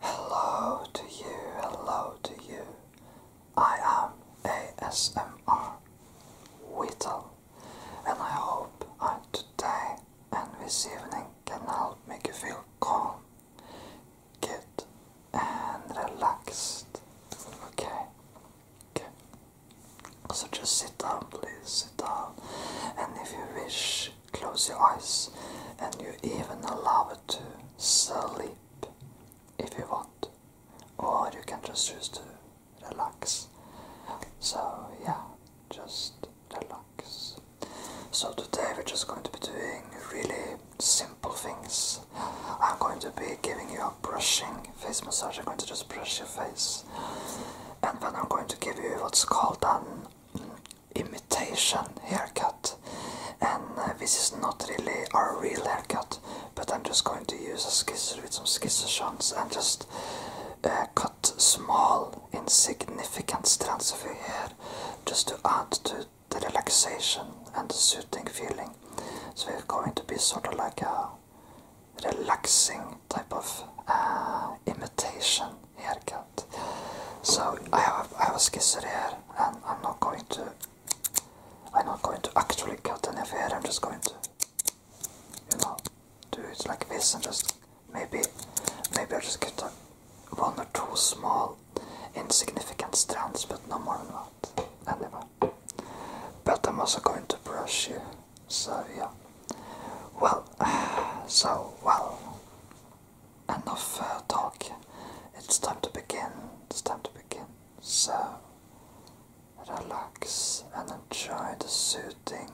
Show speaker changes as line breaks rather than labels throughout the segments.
Hello to you, hello to you. I am ASMR Whittle and I hope I today and this evening can help make you feel calm, good and relaxed. Okay? Okay. So just sit down please, sit down and if you wish Close your eyes, and you even allow it to sleep if you want, or you can just choose to relax. So, yeah, just relax. So, today we're just going to be doing really simple things. I'm going to be giving you a brushing face massage, I'm going to just brush your face, and then I'm going to give you what's called an imitation haircut and uh, this is not really our real haircut but I'm just going to use a scissors with some scissors and just uh, cut small insignificant strands of your hair just to add to the relaxation and the soothing feeling so it's going to be sort of like a relaxing type of uh, imitation haircut. So I have I have a scissor here, and I'm not going to. I'm not going to actually cut any hair. I'm just going to, you know, do it like this, and just maybe, maybe I just get one or two small, insignificant strands, but no more than that. Anyway, but I'm also going to brush you. So yeah. Well, so well, enough uh, talk. It's time to begin. It's time to begin. So, relax and enjoy the soothing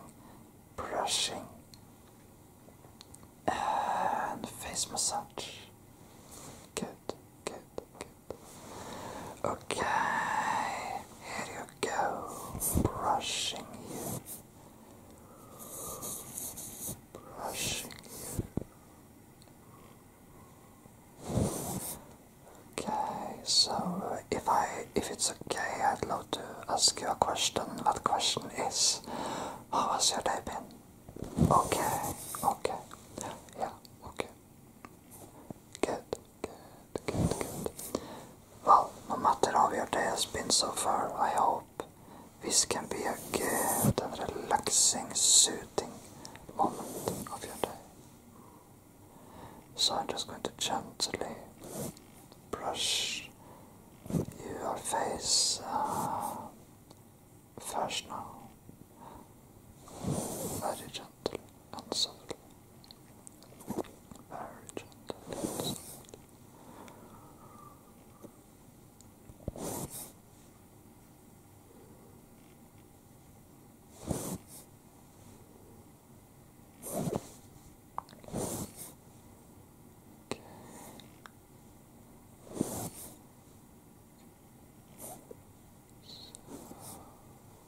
brushing and face massage. Good, good, good. Okay, here you go. Brushing you. Okay, so uh, if I, if it's okay, I'd love to ask you a question. What question is, how was your day been? Okay, okay, yeah, okay. Good, good, good, good. Well, no matter how your day has been so far, I hope this can be a good relaxing, soothing moment of your day. So I'm just going to gently brush your face uh, first now. Very gently and softly, Very gentle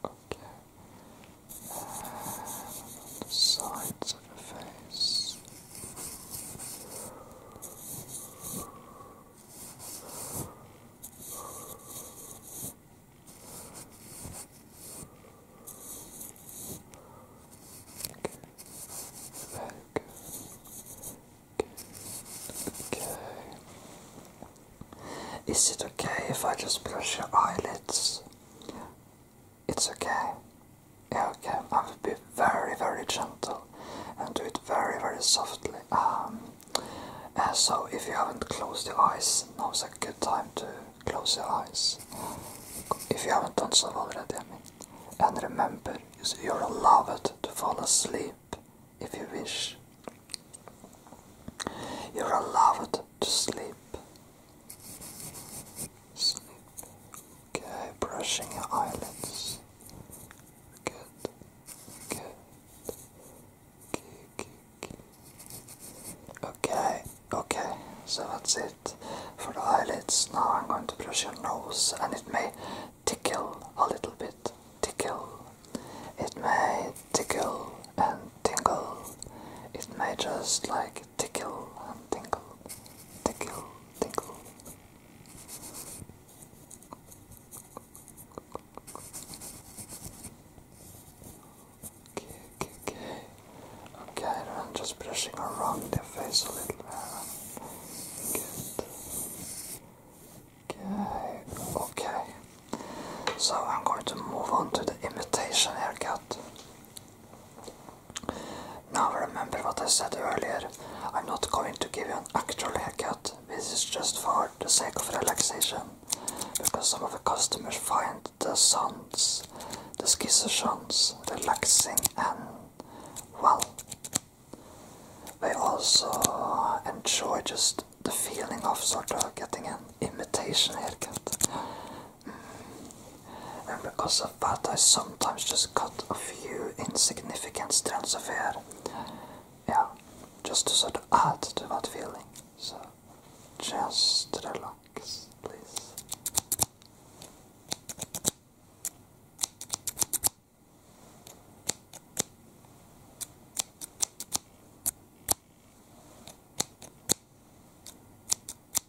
Okay. And sides of the face. Is it okay if I just brush your eyelids? It's okay. Yeah, okay. I will be very, very gentle and do it very, very softly. Um, and so, if you haven't closed your eyes, now's a good time to close your eyes. If you haven't done so already, I mean. And remember, you're allowed to fall asleep if you wish. You're allowed to sleep. Sleep. Okay, brushing your eyelids. Good. Good. Okay, okay, So that's it for the eyelids. Now I'm going to brush your nose and it may tickle a little bit. Tickle. It may tickle and tingle. It may just like tickle and tingle, tickle, tinkle. Okay, okay, okay. Okay, I'm just brushing around their face a little bit. Okay, okay. So I'm going to move on to the imitation haircut. Now remember what I said earlier. I'm not going to give you an actual haircut. This is just for the sake of relaxation. Because some of the customers find the sounds, the scissors skissations, relaxing and, well, they also enjoy just the feeling of sort of getting an imitation haircut. And because of that, I sometimes just cut a few insignificant strands of hair. Yeah, just to sort of add to that feeling. So, just relax, please.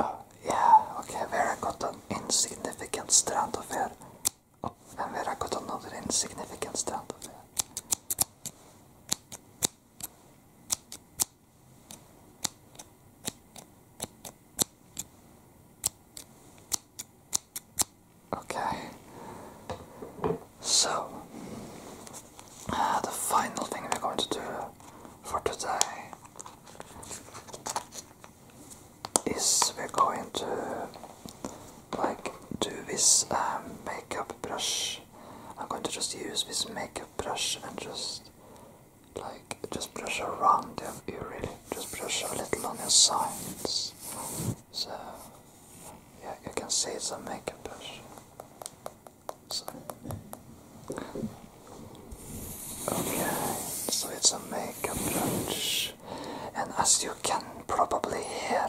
Oh, yeah, okay, Vera got an insignificant strand of hair. Oh, and Vera got another insignificant strand of hair. Okay. So, uh, the final thing we're going to do for today is we're going to like do this um, makeup brush. I'm going to just use this makeup brush and just like just brush around your ear really. Just brush a little on your sides. So yeah, you can see it's a makeup brush. So, okay, so it's a makeup brush, and as you can probably hear,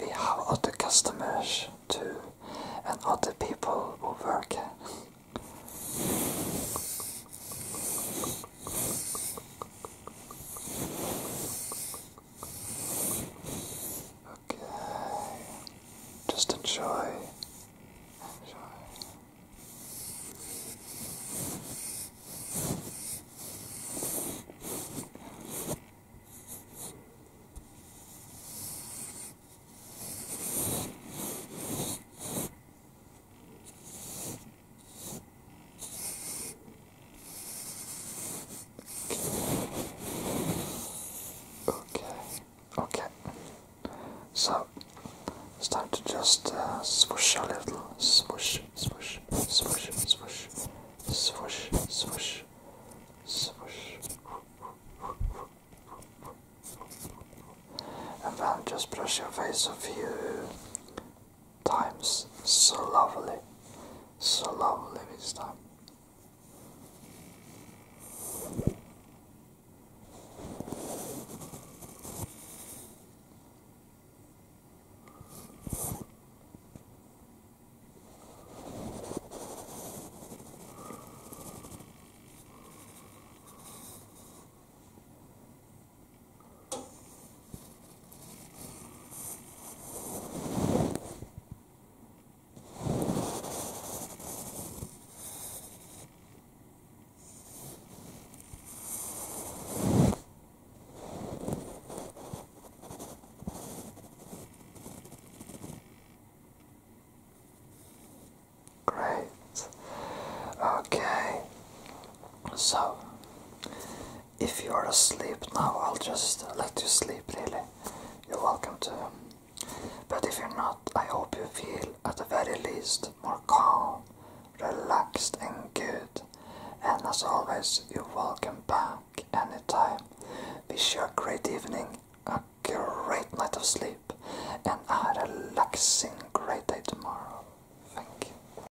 we have other customers too, and other people who work Okay. Just enjoy. Enjoy. Okay, okay. So it's time to just uh, swish a little. swish, swish, swish, swish, swish, swish, swoosh. And then just brush your face a few times so lovely, so lovely this time. Great. Okay. So if you're asleep now, I'll just uh, let you sleep, really. You're welcome to. Um, but if you're not, I hope you feel, at the very least, more calm, relaxed, and good. And as always, you're welcome back anytime. Wish you a great evening, a great night of sleep, and a relaxing great day tomorrow. Thank you.